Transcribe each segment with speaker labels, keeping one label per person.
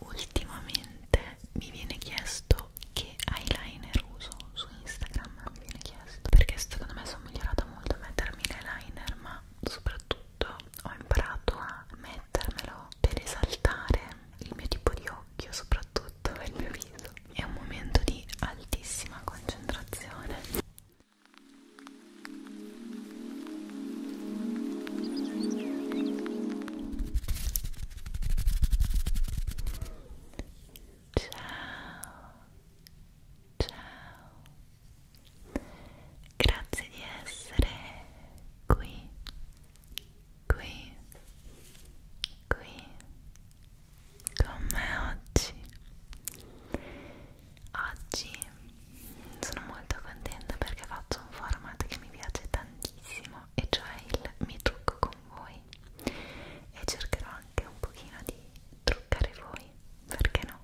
Speaker 1: Ultimamente mi viene chiesto che eyeliner uso su Instagram, mi viene chiesto perché secondo me sono migliorata molto a mettermi l'eyeliner, ma soprattutto ho imparato a mettermelo per esaltare il mio tipo di occhio, soprattutto il mio viso. È un momento di altissima concentrazione. Ciao, grazie di essere qui, qui, qui con me oggi. Oggi sono molto contenta perché faccio un format che mi piace tantissimo e cioè il mi trucco con voi e cercherò anche un pochino di truccare voi, perché no?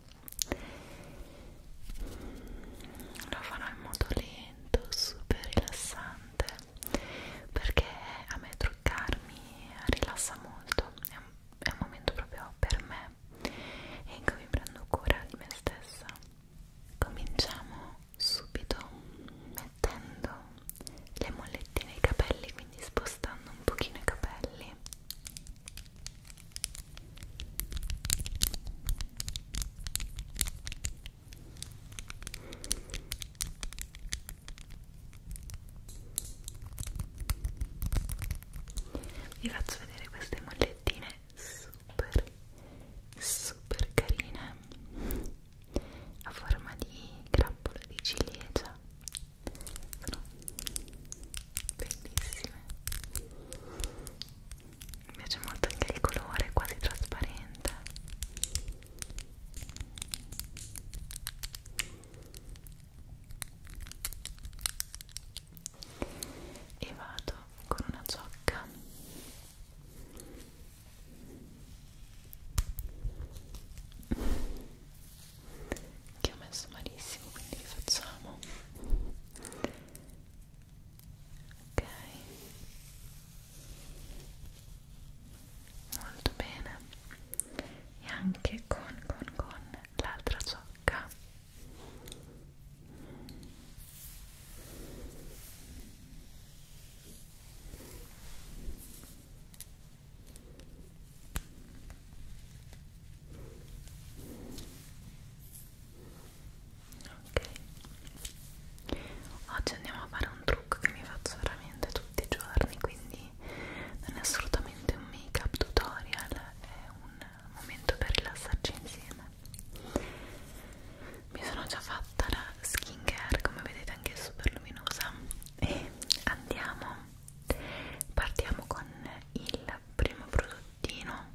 Speaker 1: Lo farò in modo lento, super rilassante, perché a me truccarmi rilassa molto, è un, è un momento proprio per me e in cui mi prendo cura di me stessa cominciamo subito mettendo le mollette nei capelli quindi spostando un pochino i capelli vi faccio vedere queste mollettine super super carine a forma di grappola di ciliegia sono bellissime mi piace molto anche il colore quasi trasparente e vado con una ciocca che ho messo malissimo quindi rifacciamo ok molto bene e anche con con con l'altra ciocca Ok, oggi andiamo a fare un trucco che mi faccio veramente tutti i giorni, quindi non è assolutamente un make up tutorial, è un momento per rilassarci insieme mi sono già fatta la skin care come vedete anche super luminosa e andiamo partiamo con il primo prodottino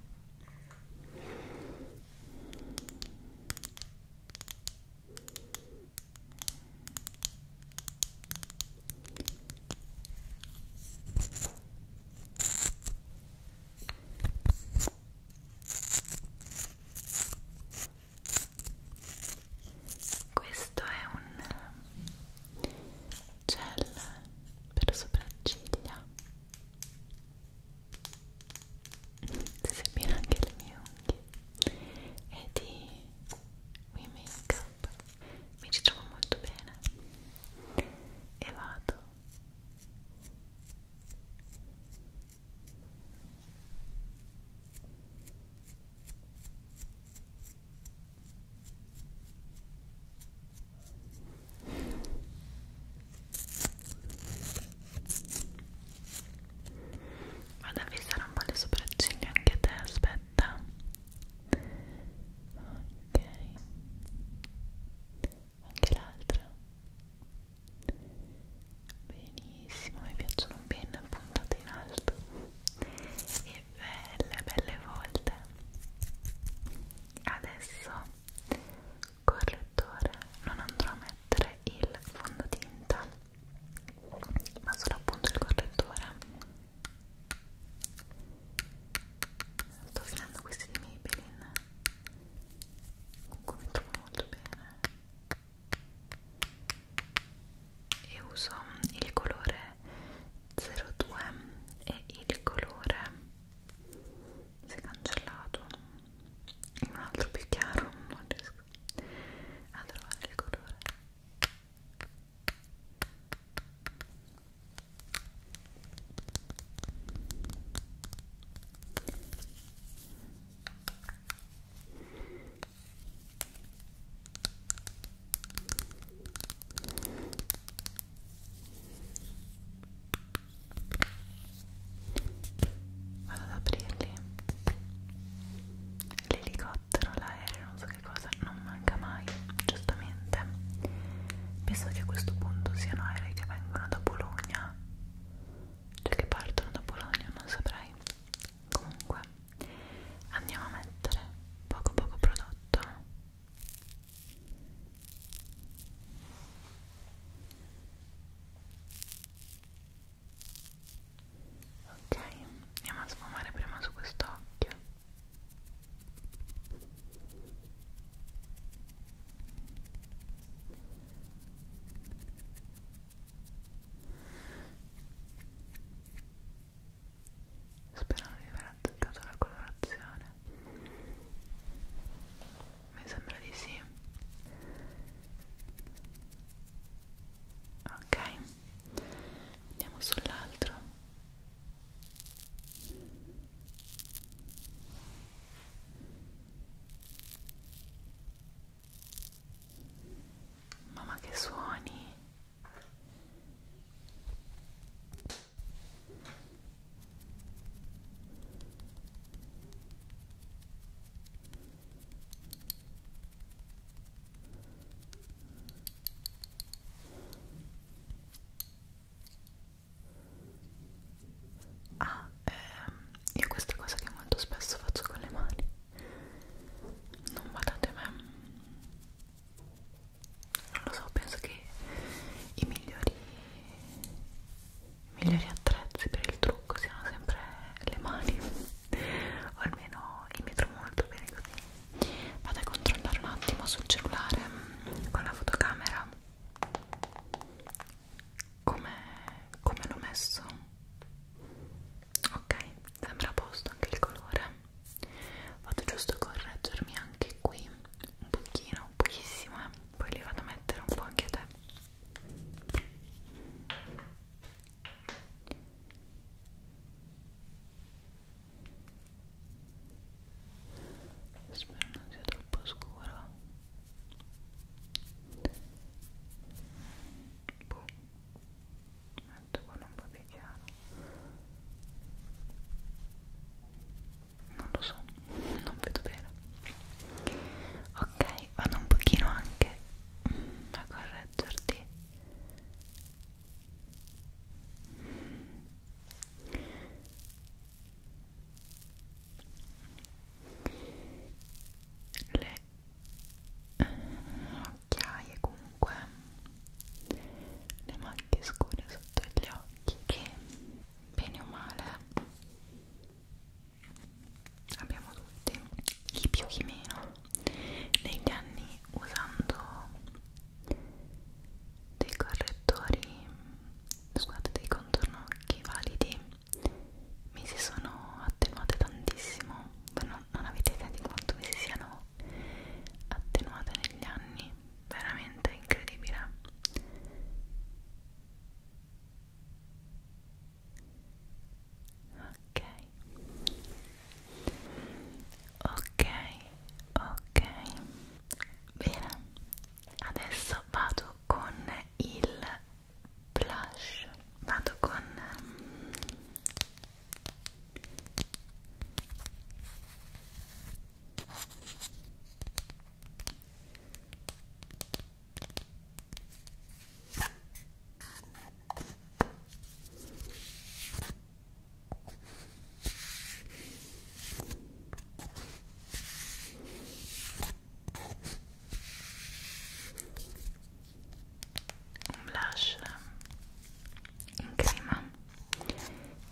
Speaker 1: questo è un gel per sopracciglia sebbene anche le mie unghie e di We Make Up mi ci trovo molto bene e vado Vado a fissare un po' le sopracciglia anche te, aspetta. Ok anche l'altra benissimo mi piacciono ben puntate in alto e belle belle volte adesso correttore non andrò a mettere il fondotinta ma solo appunto il correttore sto finendo questi di Maybelline comunque mi trovo molto bene e uso il colore 02 e il colore si è cancellato in un altro più chiaro non riesco a trovare il colore Vado ad aprirli. L'elicottero, l'aereo, non so che cosa, non manca mai, giustamente. Penso che a questo punto siano aerei che vengono da Bologna cioè che partono da Bologna, non saprei. Comunque, andiamo a mettere poco poco prodotto. Ok, andiamo a sfumare prima su quest'occhio. Spero non vi aver azzeccato la colorazione. Mi sembra di sì. Ok, andiamo sull'altro. Mamma che suoni. Mamma Ah, ehm, io questa cosa che molto spesso faccio con le mani. Non guardate me. Non lo so, penso che i migliori, i migliori attrezzi per il trucco siano sempre le mani. o almeno imitro molto bene così. Vado a controllare un attimo sul cellulare con la fotocamera come com l'ho messo? ok, sembra a posto anche il colore vado giusto a correggermi anche qui un pochino, pochissimo eh? poi li vado a mettere un po' anche a te Spero non sia troppo scuro boh metto con un po' più chiaro non lo so non vedo bene ok vado un pochino anche a correggerti le eh, occhiaie comunque le macchie scure sotto gli occhi che bene o male abbiamo tutti chi più chi meno negli anni usando dei correttori scusate dei contornocchi validi mi si sono attenuate tantissimo non, non avete idea di quanto mi si siano attenuate negli anni veramente incredibile ok ok ok bene adesso vado con il blush vado con ehm, un blush in crema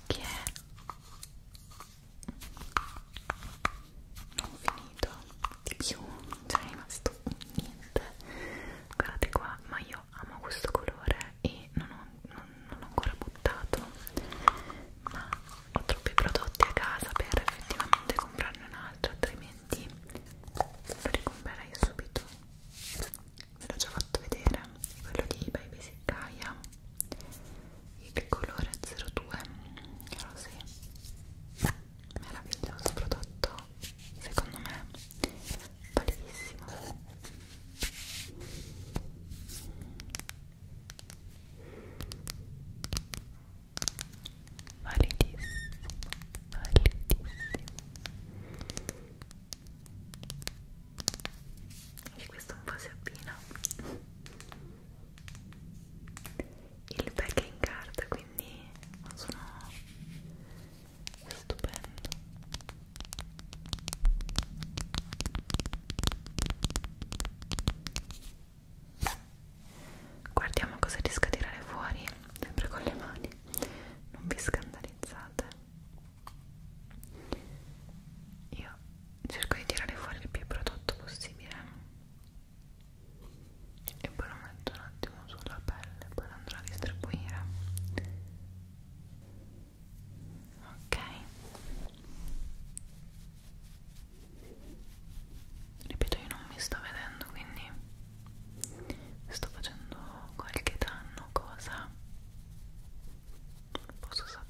Speaker 1: che è non finito di più non c'è cioè rimasto niente guardate qua ma io amo questo colore e non ho, non, non ho ancora buttato ma ho troppi prodotti a casa per effettivamente comprarne un altro altrimenti lo ricomprerei subito ve l'ho già fatto vedere quello di Baby Sicaia il colore 02 rosé meraviglioso prodotto secondo me validissimo validissimo validissimo e questo un po' si abbina il pack è in carta quindi non sono stupendo guardiamo cosa riesco a tirare fuori sempre con le mani non vi scandalizzate io cerco di tirare fuori il più prodotto possibile e poi lo metto un attimo sulla pelle poi lo andrò a distribuire ok ripeto io non mi sto vedendo quindi sto facendo qualche danno cosa non posso sapere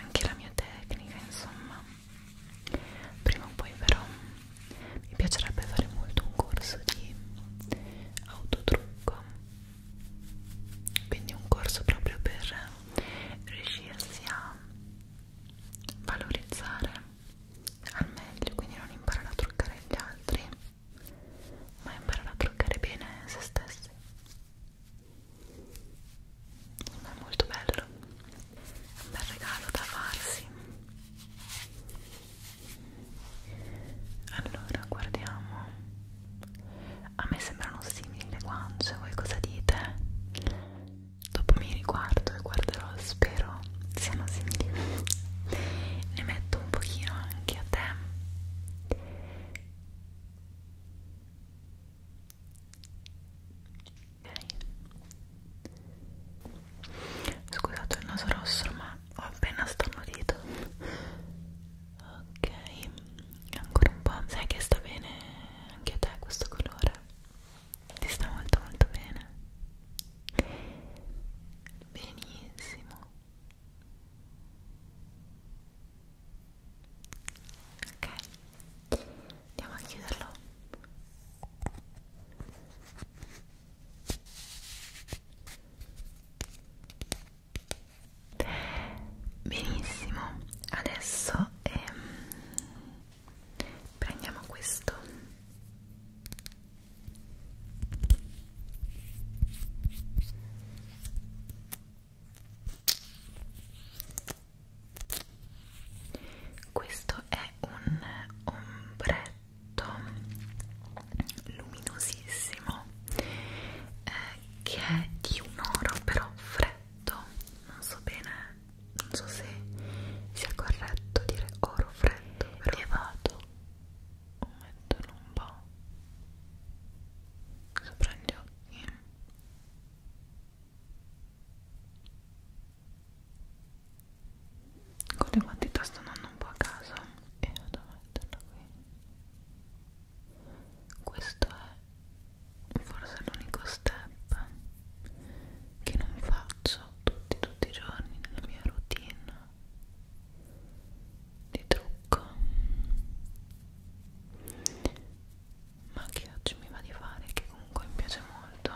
Speaker 1: anche la mia tecnica insomma prima o poi però mi piacerebbe fare molto un corso di autotrucco quindi un corso proprio per riuscirsi a valorizzare al meglio, quindi non imparare a truccare gli altri, ma imparare a truccare bene se stessi. Ma è molto bello, è un bel regalo da farsi. Allora, guardiamo. A me sembrano simili le guance, voi cosa dite? dopo mi riguardo e guarderò spero siano simili ne metto un pochino anche a te okay. scusate il naso rosso ma ho appena starnutito ok ancora un po' sai che sta bene anche a te questo colore ti sta molto molto bene benissimo ok andiamo a chiuderlo benissimo adesso ehm, prendiamo questo questo è un ombretto luminosissimo eh, che è di un oro però freddo non so bene non so se sia corretto dire oro freddo metto però Ti vado metterlo un po' sopra gli occhi con le quantità sto andando un po' a caso e vado a metterlo qui questo è forse l'unico step che non faccio tutti tutti i giorni nella mia routine di trucco ma che oggi mi va di fare che comunque mi piace molto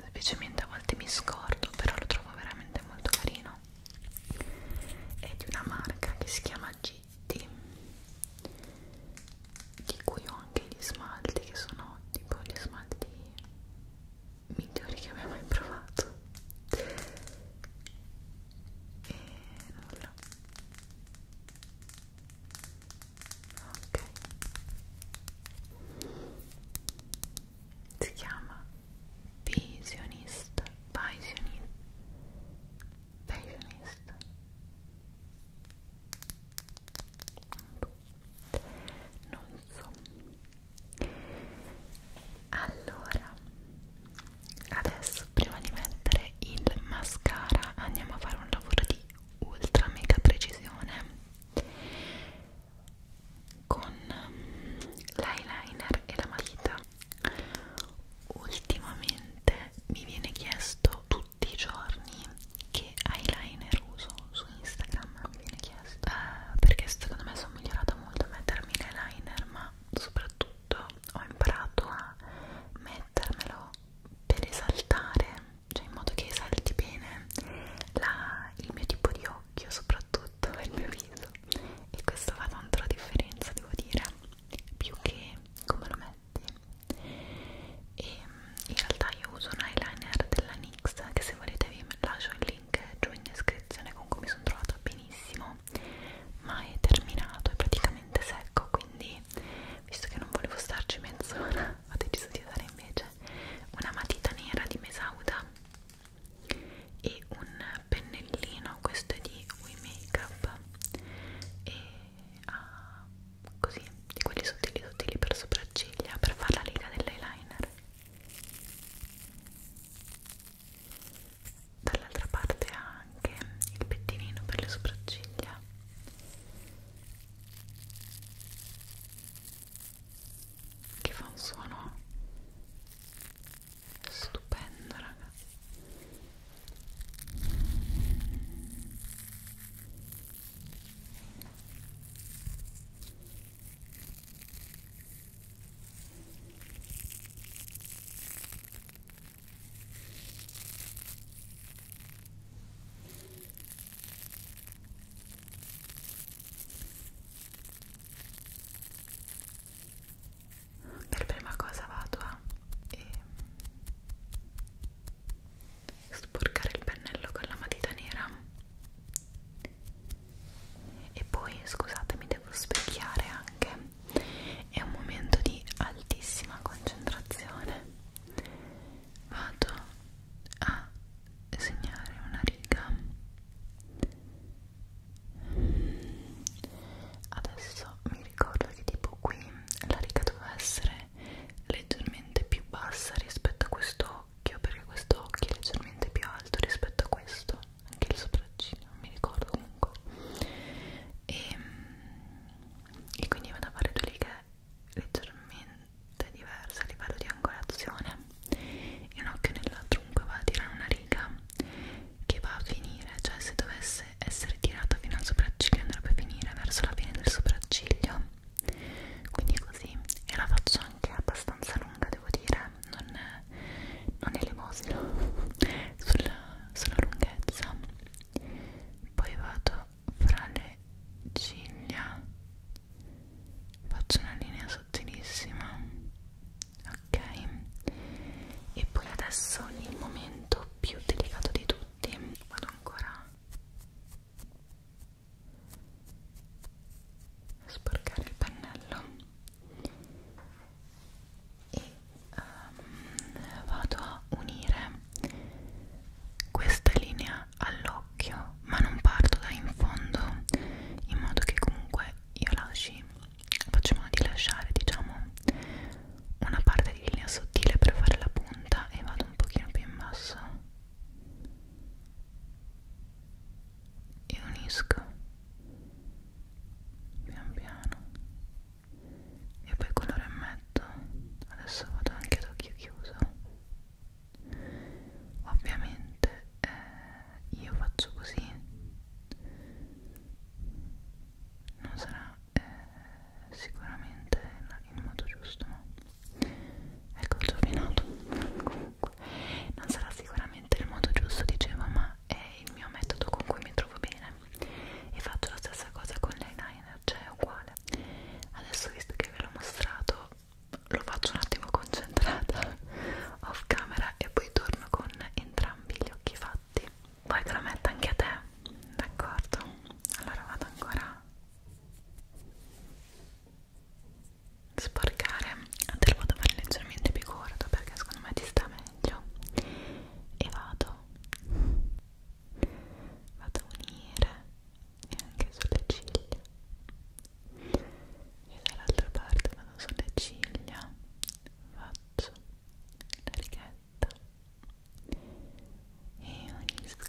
Speaker 1: semplicemente a volte mi scordo però lo trovo veramente molto carino è di una marca che si chiama Gitti di cui ho anche gli smalti che sono tipo gli smalti migliori che abbia mai provato e nulla ok si chiama visionista visionista visionista non so allora adesso prima di mettere il mascara andiamo a fare un lavoro di ultra mega precisione con ehm, l'eyeliner e la matita ultimamente mi viene chiesto tutti i giorni che eyeliner uso su Instagram mi viene chiesto eh, perché secondo me sono migliorata molto a mettermi l'eyeliner ma soprattutto ho imparato a mettermelo per esaltare cioè in modo che esalti bene la, il mio tipo di occhio soprattutto il mio viso e questo fa tanto la differenza devo dire più che come lo metti e in realtà io uso un eyeliner della NYX che se volete vi lascio il link giù in descrizione comunque mi sono trovata benissimo ma è terminato, è praticamente secco quindi visto che non volevo starci mezz'ora ho deciso di usare invece una matita nera di Mesauda e un pennellino, questo è di We Makeup e ha ah, così, di quelli sottili sottili per sopracciglia per fare la riga dell'eyeliner dall'altra parte anche il pettinino per le sopracciglia che fa un suono stupendo ragazzi e per prima cosa vado a e ehm, sporcare il pennello con la matita nera e poi scusate mi devo specchiare anche è un momento di altissima concentrazione vado a segnare una riga adesso mi ricordo che tipo qui la riga doveva essere leggermente più bassa rispetto a questo occhio perché questo occhio è leggermente più alto rispetto a questo anche il sopraccino non mi ricordo comunque e, ehm, e quindi vado a fare due righe leggermente diverse a livello di angolazione e un occhio nell'altro comunque va a tirare una riga che va a finire cioè se dovesse essere tirata fino al sopracciglio andrebbe a finire verso la fine del sopracciglio quindi così e la faccio anche abbastanza lunga devo dire, non, non elemosino sulla, sulla lunghezza. Poi vado fra le ciglia, faccio una linea sottilissima, ok? E poi adesso il momento più delicato di tutti, vado ancora sporcare il pennello e um, vado a unire questa linea all'occhio ma non parto da in fondo in modo che comunque io lasci faccio modo di lasciare diciamo una parte di linea sottile per fare la punta e vado un pochino più in basso e unisco pian piano e poi colore e metto adesso vado anche ad occhio chiuso ovviamente eh, io faccio così non sarà eh, sicuramente il modo giusto ma ecco il giorninato comunque non sarà sicuramente il modo giusto dicevo ma è il mio metodo con cui mi trovo bene e faccio la stessa cosa con l'eyeliner cioè è uguale adesso visto che ve l'ho mostrato lo faccio un attimo concentrata off camera e poi torno con entrambi gli occhi fatti poi te lo metto anche a te d'accordo allora vado ancora sporcare te lo vado a fare leggermente più corto perché secondo me ti sta meglio e vado vado a unire e anche sulle ciglia e dall'altra parte vado sulle ciglia faccio la righetta e unisco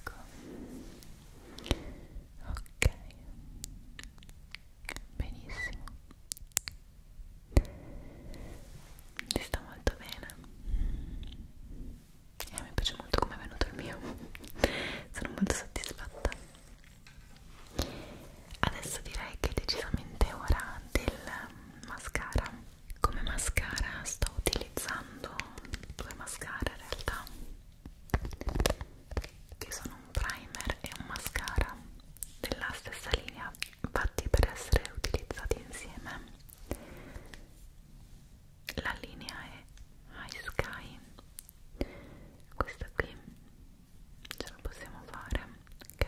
Speaker 1: ok benissimo ti sta molto bene e eh, mi piace molto come è venuto il mio sono molto soddisfatta adesso direi che è decisamente ora del mascara come mascara sto utilizzando due mascara in realtà che sono un primer e un mascara della stessa linea fatti per essere utilizzati insieme la linea è High Sky questa qui ce la possiamo fare ok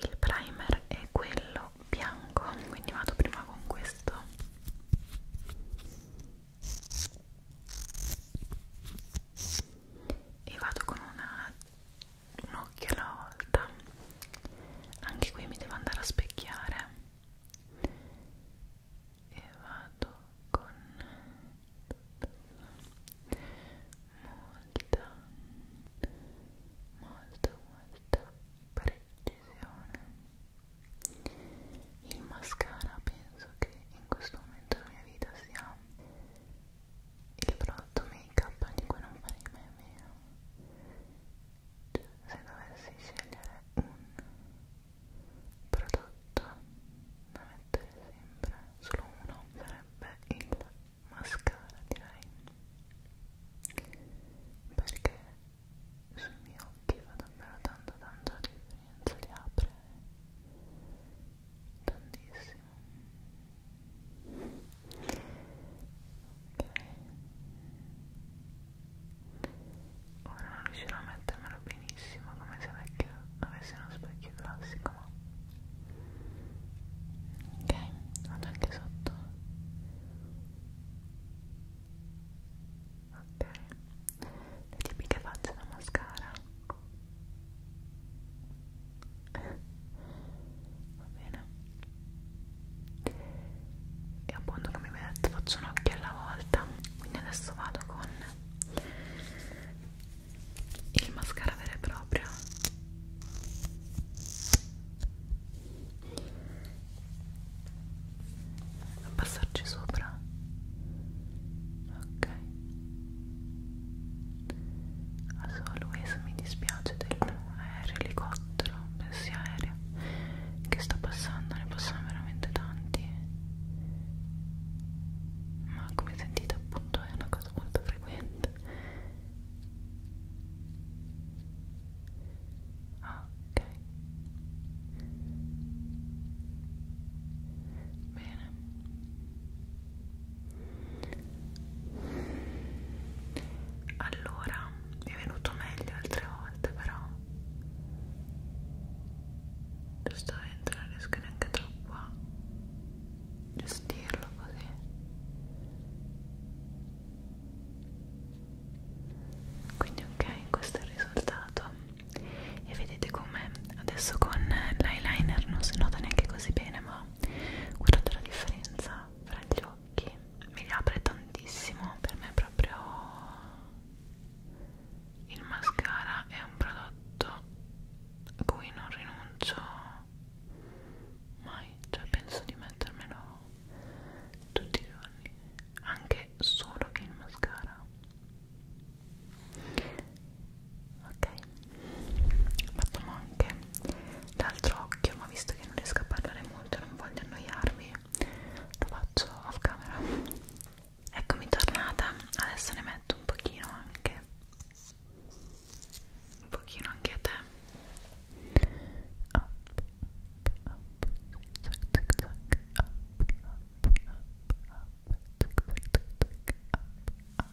Speaker 1: il primer è quello bianco quindi vado prima con questo e vado con una un occhio alla volta anche qui mi devo andare a specchiare e vado con molta molta molta precisione il mascara penso che in questo momento della mia vita sia il prodotto make up di cui non farei mai a meno cioè, se dovessi scegliere un prodotto da mettere sempre solo uno sarebbe il mascara direi perché sui miei occhi fa davvero tanto tanto differenza li apre tantissimo benissimo ok ora non riuscirò a mettermelo benissimo come se vecchio avessi uno specchio classico ma ok vado anche sotto ok le tipiche facce da mascara va bene e appunto come vi ho detto faccio un occhio alla volta quindi adesso vado con il mascara vero e proprio a passarci sopra ok Adesso Luisa mi dispiace del aereo elicottero, pensi aereo che sta passando, ne passano veramente tanti. Ma come sentite appunto è una cosa molto frequente. Ah, ok. Bene allora mi è venuto meglio altre volte però giustamente non riesco neanche troppo a gestirlo così quindi ok questo è il risultato e vedete come adesso con l'eyeliner non si nota neanche così bene ma guardate la differenza fra gli occhi mi li apre tantissimo per me proprio il mascara è un prodotto a cui non rinuncio mai cioè penso di mettermelo tutti i giorni anche solo il mascara ok Facciamo anche l'altro occhio, ma visto che non riesco a parlare molto e non voglio annoiarvi, lo faccio off camera. Eccomi tornata, adesso ne metto un pochino anche. Un pochino anche a te. Up, up, zac, zac, zac, up, up, up, up, zac, zac, zac, up, up.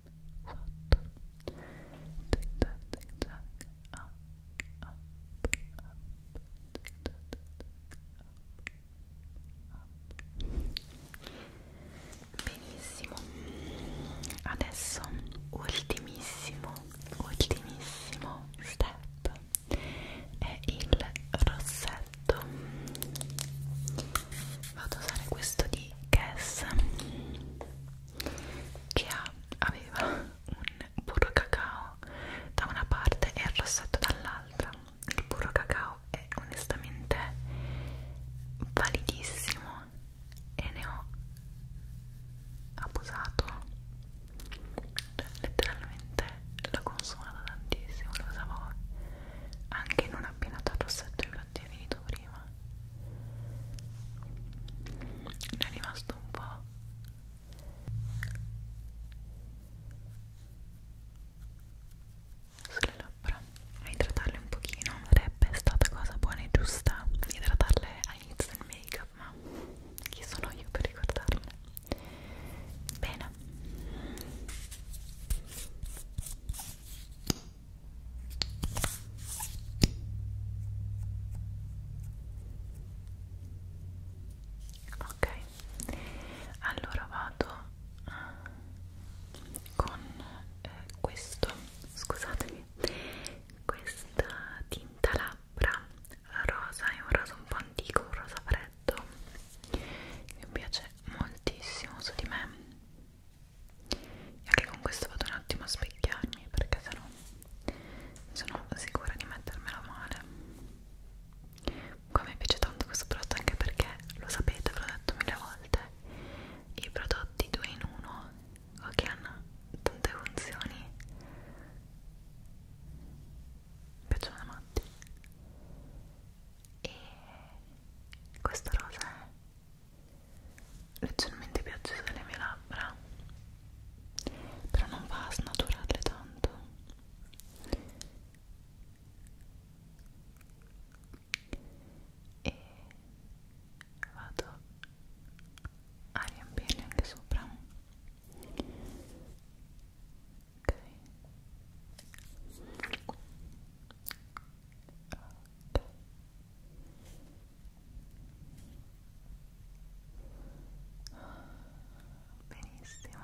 Speaker 1: sotto zig zag zig zag up up up zig zag up up benissimo adesso ultimissimo ultimissimo step è il rossetto vado a usare questo di Guess che ha, aveva un burro cacao da una parte e il rossetto dall'altra il burro cacao è onestamente validissimo e ne ho abusato cioè, letteralmente l'ho consumato tantissimo lo usavo anche non appena dal rossetto infatti è finito prima ne è rimasto un po' sulle labbra a idratarle un pochino sarebbe stata cosa buona e giusta idratarle all'inizio del make up ma chi sono io per ricordarle bene ok allora vado eh, con eh, questo scusatemi questa tinta labbra rosa è un rosa un po' antico un rosa freddo mi piace moltissimo su di me e anche con questo vado un attimo a specchiarmi perché sennò sono sicura di mettermela male comunque mi piace tanto questo prodotto anche perché lo sapete, ve l'ho detto mille volte i prodotti 2 in 1 che hanno tante funzioni mi piacciono da matti e questo rosa è leggermente piacciono le mie labbra però non va a snaturarle tanto e vado a riempirle anche sopra ok ok Benissimo.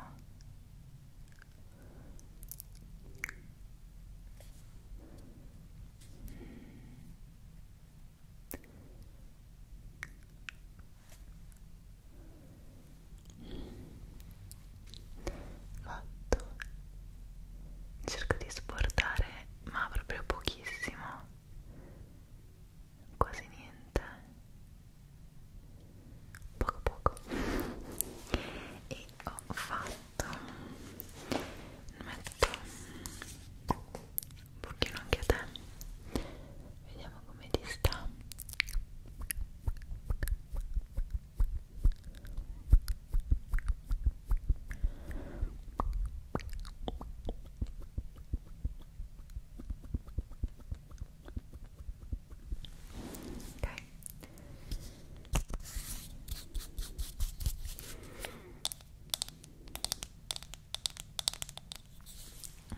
Speaker 1: Fatto. Cerco di sportare ma proprio pochissimo quasi niente poco poco e ho fatto metto un pochino anche a te vediamo come ti sta Ok.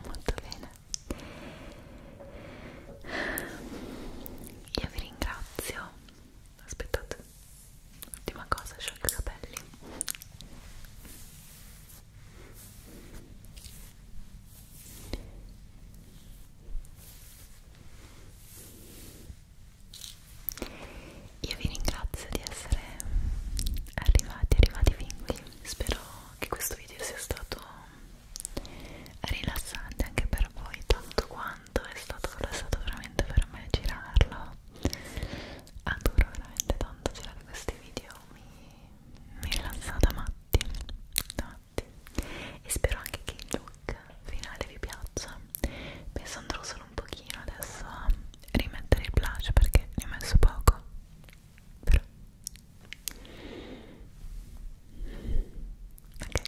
Speaker 1: Molto bene. Io vi ringrazio aspettate ultima cosa sciolgo i capelli io vi ringrazio di essere arrivati, arrivati fin qui spero che questo video sia stato rilassante anche per voi tanto quanto tanto è stato, è stato veramente per me girarlo adoro veramente tanto girare questi video mi, mi rilassa da matti, da matti e spero anche che il look finale vi piaccia penso andrò solo un pochino adesso a rimettere il blush perché ne ho messo poco però ok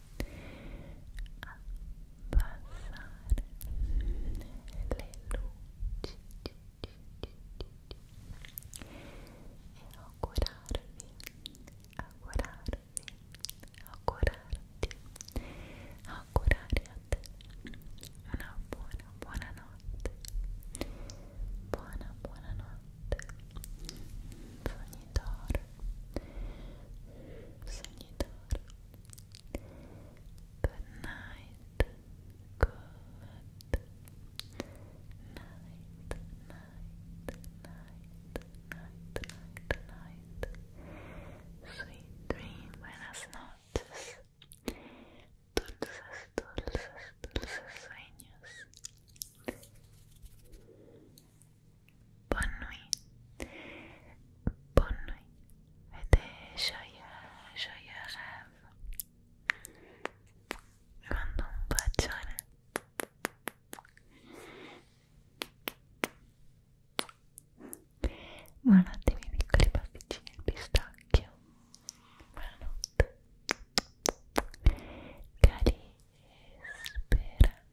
Speaker 1: abbassare le luci e augurarvi, augurarvi, augurarti, augurare a te una buona, buona notte, buona, buona notte, sognitore, sognitore. Good night. Good night. Night. Night. Night. Night. Sweet dream. Buenas noches. Dulces, dulces, dulces sueños. Bonne nuit. Bonne nuit. Et des joyeux, joyeux rêves. Je mando un bacione. Buonanotte miei piccoli pasticcini al pistacchio. Buonanotte. Cari spera.